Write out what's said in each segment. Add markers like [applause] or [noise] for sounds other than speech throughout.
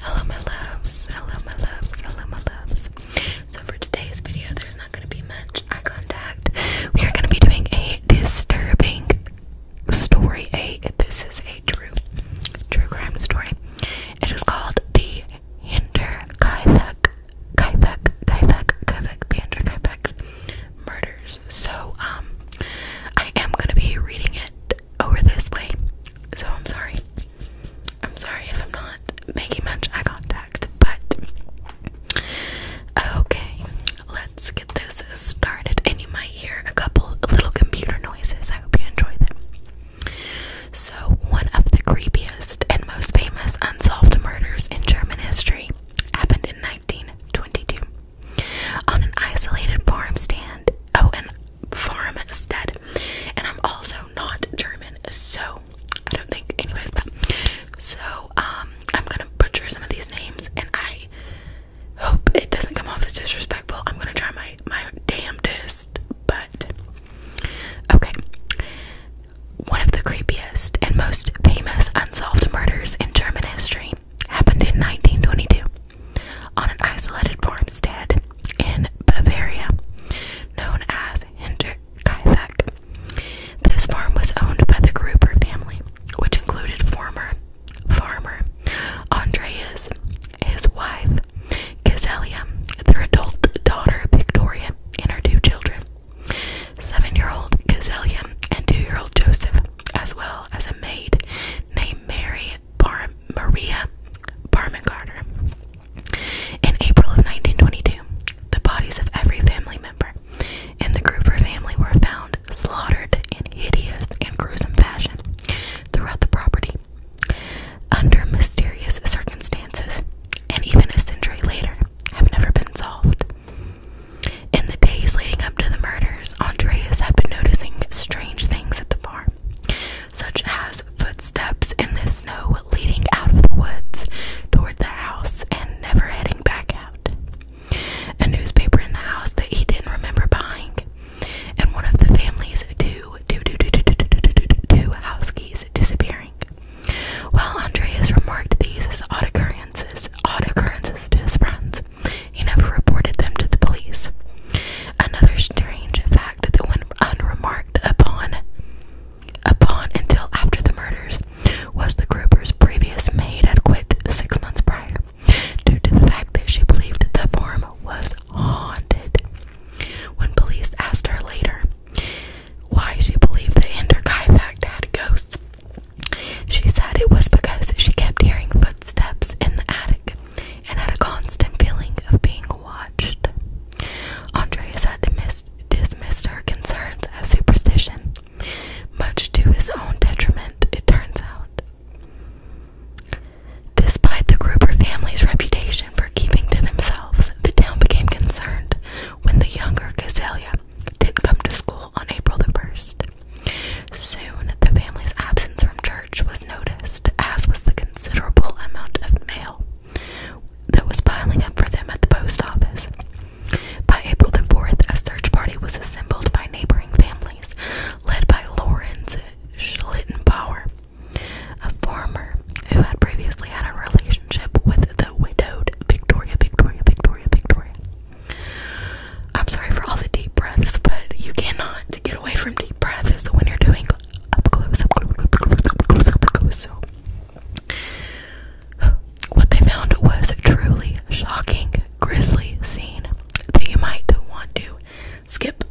Hello, my loves. Hello, my loves. Hello, my loves. So, for today's video, there's not going to be much eye contact. We are going to be doing a disturbing story. A This is a true, true crime story. It is called The Hinder Kaivek, Kaivek, Kaivek, Kaivek, Hinder Kaivek Murders. So, um, I am going to be reading it over this way. So I'm sorry. I'm sorry if I'm not making much eye contact, but okay, let's get this started. And you might hear a couple little computer noises. I hope you enjoy them. So, one of the creepiest and most famous unsolved murders in German history happened in 1922 on an isolated farm stand Oh, and Farmstead. And I'm also not German, so I don't think, anyways, but so um, I'm gonna butcher some of these names and I hope it doesn't come off as disrespectful. I'm gonna try my, my damnedest, but okay. One of the creepiest and most famous unsolved murders in German history happened in 1922 on an isolated farmstead in Bavaria known as Hinterkaifeck. This farm was owned by the Gruber family, which included former farmer Andreas, his wife Gazelia, their adult daughter Victoria, and her two children. Seven-year-old Gazelia and two-year-old Joseph, as well as a maid named Mary Maria Bar Carter. In April of 1922, the bodies of every family member in the Gruber family were found slaughtered in hideous and gruesome fashion throughout the property under mysterious circumstances, and even a century later have never been solved. In the days leading up to the murders years, Andreas had been noticing strange things at the bar, such as footsteps in the snow leading out of the woods toward the house and never heading back out, a newspaper in the house that he didn't remember buying, and one of the family's two, two, two, two, two, two, two, two, two, two, two house keys disappearing. While Andreas remarked these as odd occurrences, odd occurrences to his friends, he never reported them to the police. Another strange fact that went unremarked upon upon until after the murders was the grouper's previous maid had quit six months prior due to the fact that she believed the farm was haunted. When police asked her later why she believed the Enderkai fact had ghosts, she said it was because she kept hearing footsteps in the attic and had a constant feeling of being watched. Andreas had dismissed, her concerns as superstition, much to his own detriment, it turns out. Despite the Gruber family's reputation for keeping to themselves, the town became concerned when the younger Cazelia didn't come to school on April the 1st. Soon, the family's absence from church was noticed, as was the considerable amount of mail that was piling up for them at the post office. By April the 4th, a search party was assembled by neighboring families, led by Lawrence Schlittenbauer, a farmer who had previously had a relationship with the widowed Victoria, Victoria, Victoria, Victoria. I'm sorry for all the deep breaths, but you cannot get away from deep breaths when you're doing up close, So, what they found was truly shocking, grisly scene that you might want to skip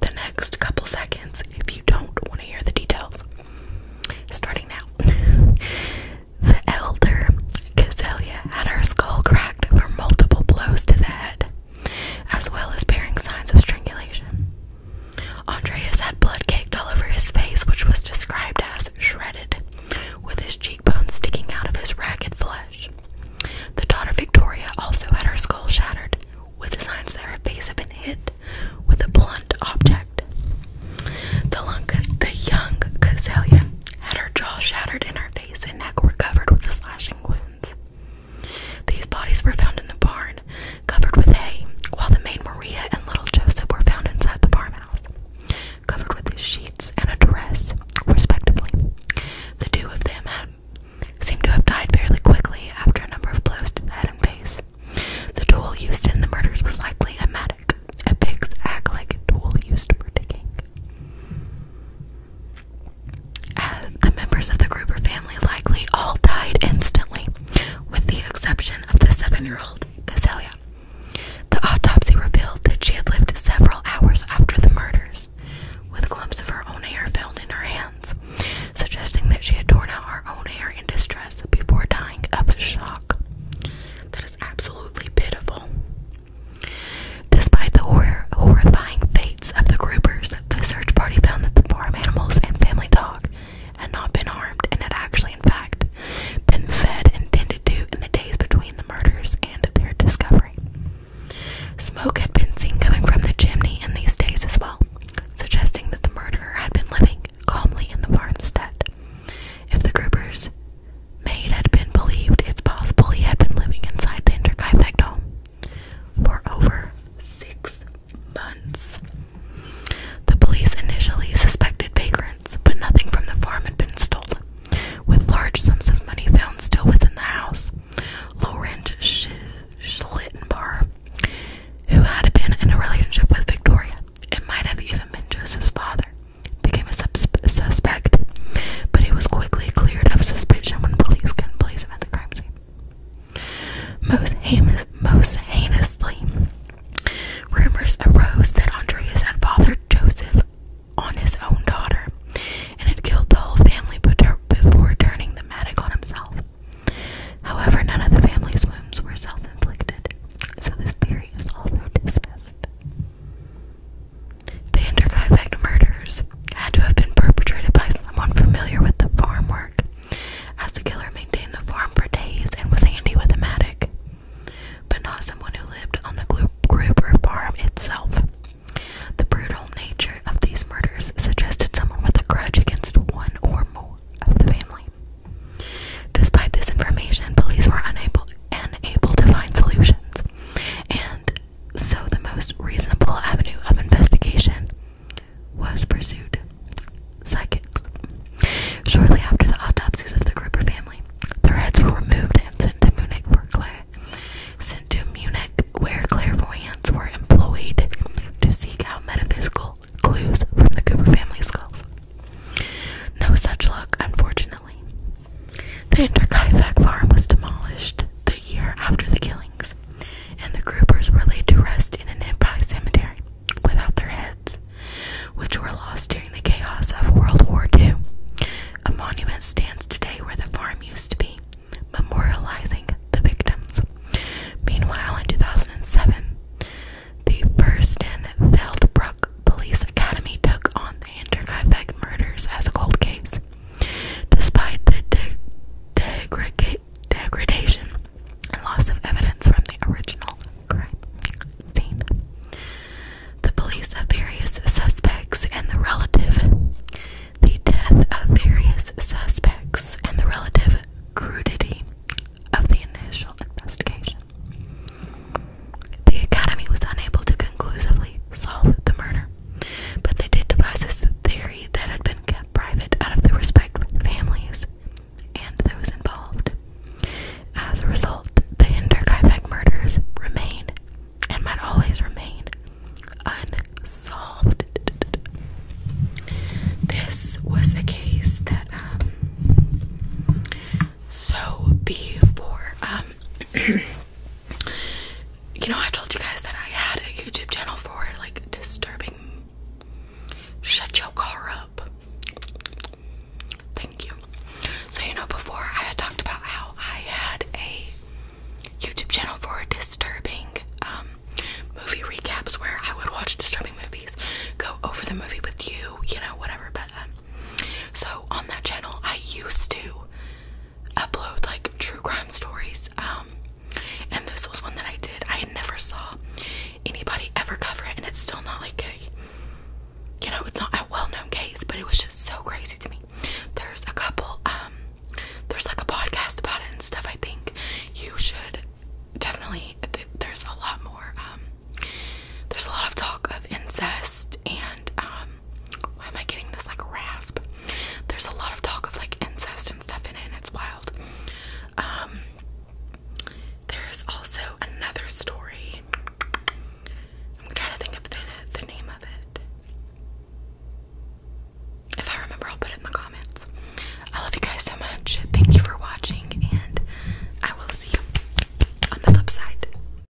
the next couple seconds if you don't want to hear the details. Starting now. The elder Cazelia had her skull cracked for multiple blows to the head as well as bearing signs of strangulation. Andreas had blood caked all over his face, which was described as shredded, with his cheekbones sticking out of his ragged flesh. The daughter Victoria also had her skull shattered, with signs that her face had been hit with a blunt object. The, young Cazelia had her jaw shattered and her face and neck were covered with slashing wounds. These bodies were found in the barn, covered with hay, while the maid Maria and little Joseph were found inside the farmhouse, covered with sheets and a dress, respectively. The two of them had, seemed to have died fairly quickly after a number of blows to the head and face. The tool used in the murders was likely a mattock, a pig's axe-like tool used for digging. Uh, the members of the Gruber family likely all died instantly, with the exception of the seven year old Caselia. The autopsy revealed that she had lived several hours after the murders, with a glimpse of her own hair found in her hands, suggesting that she had torn out her own hair in distress before dying of a shock. That is absolutely pitiful. Despite the horrifying fates of the groupers, the search party found that the farm animals and family dog had not been harmed and had actually, in fact, been fed and tended to in the days between the murders and their discovery. Smoke had been seen coming from the chimney in these days as well, suggesting that the murderer had been living calmly in the farmstead. If the groupers Maid had been believed it's possible he had been living inside the Interkaifeck home for over six months. The police initially suspected vagrants, but nothing from the farm had been stolen, with large sums of money found still within the house. Laurent Sch Schlittenbar, who had been in a relationship with Victoria, it might have even been Joseph's father, became a suspect, but he was quickly cleared of suspicion when police can place him at the crime scene. Most, heinous, most heinously, rumors arose that Andreas had fathered Joseph on his own daughter and had killed the whole family before turning the matic on himself. However, none of the family's wounds were self inflicted, so this theory is also dismissed. The Hinterkaifeck murders had to have been perpetrated by someone familiar with the farm work, as the killer maintained the farm for days and was handy with a matic, but not someone who lived on the Gruber farm itself. The brutal nature of these murders suggested someone with a grudge against one or more of the family. Despite this information, police were unable unable to find solutions, and so the most reasonable avenue of investigation was pursued. Psychics. Shortly after the autopsies of the Cooper family, their heads were removed and sent to Munich for Claire. Sent to Munich, where clairvoyants were employed to seek out metaphysical clues from the Cooper family skulls. No such luck, unfortunately. The Interkaifeck farm was demolished the year after the killings, and the groupers were laid to rest in an nearby cemetery without their heads, which were lost during the chaos of World War II. A monument stands today where the farm used to be, memorializing the victims. Meanwhile, in 2007, the first Furstenfeldbruck Police Academy took on the Hinterkaifeck murders as a cold case. Despite the degradation and loss of evidence from the original crime scene, the police of various suspects and the relative, the death of various suspects and the relative crudity of the initial investigation. The Academy was unable to conclusively solve the murder, but they did devise a theory that had been kept private out of the respect for the families and those involved. As a result, the Hinterkaifeck murders remain and might always remain unsolved. This was a case that, um, so before, um, [coughs] you know, I told you guys that I had a YouTube channel for like disturbing. Shut your car up. Thank you. So, you know, before I had talked about how I had a YouTube channel for disturbing um, movie recaps where I would watch disturbing movies, go over the movie with you, you know, whatever. But um, so on that channel, I used to upload like true crime stories. Um, and this was one that I did. I never saw anybody ever cover it, and it's still not like a, you know, it's not a well-known case, but it was just so crazy to me. There's a couple. Um, there's like a podcast about it and stuff. I think you should definitely. there's a lot more. Um, there's a lot of talk of incest and um, why am I getting this like rasp? There's a lot of talk of like incest and stuff in it and it's wild. Um, there's also another story. I'm trying to think of the, the name of it. If I remember, I'll put it in the comments. I love you guys so much. Thank you for watching, and I will see you on the flip side.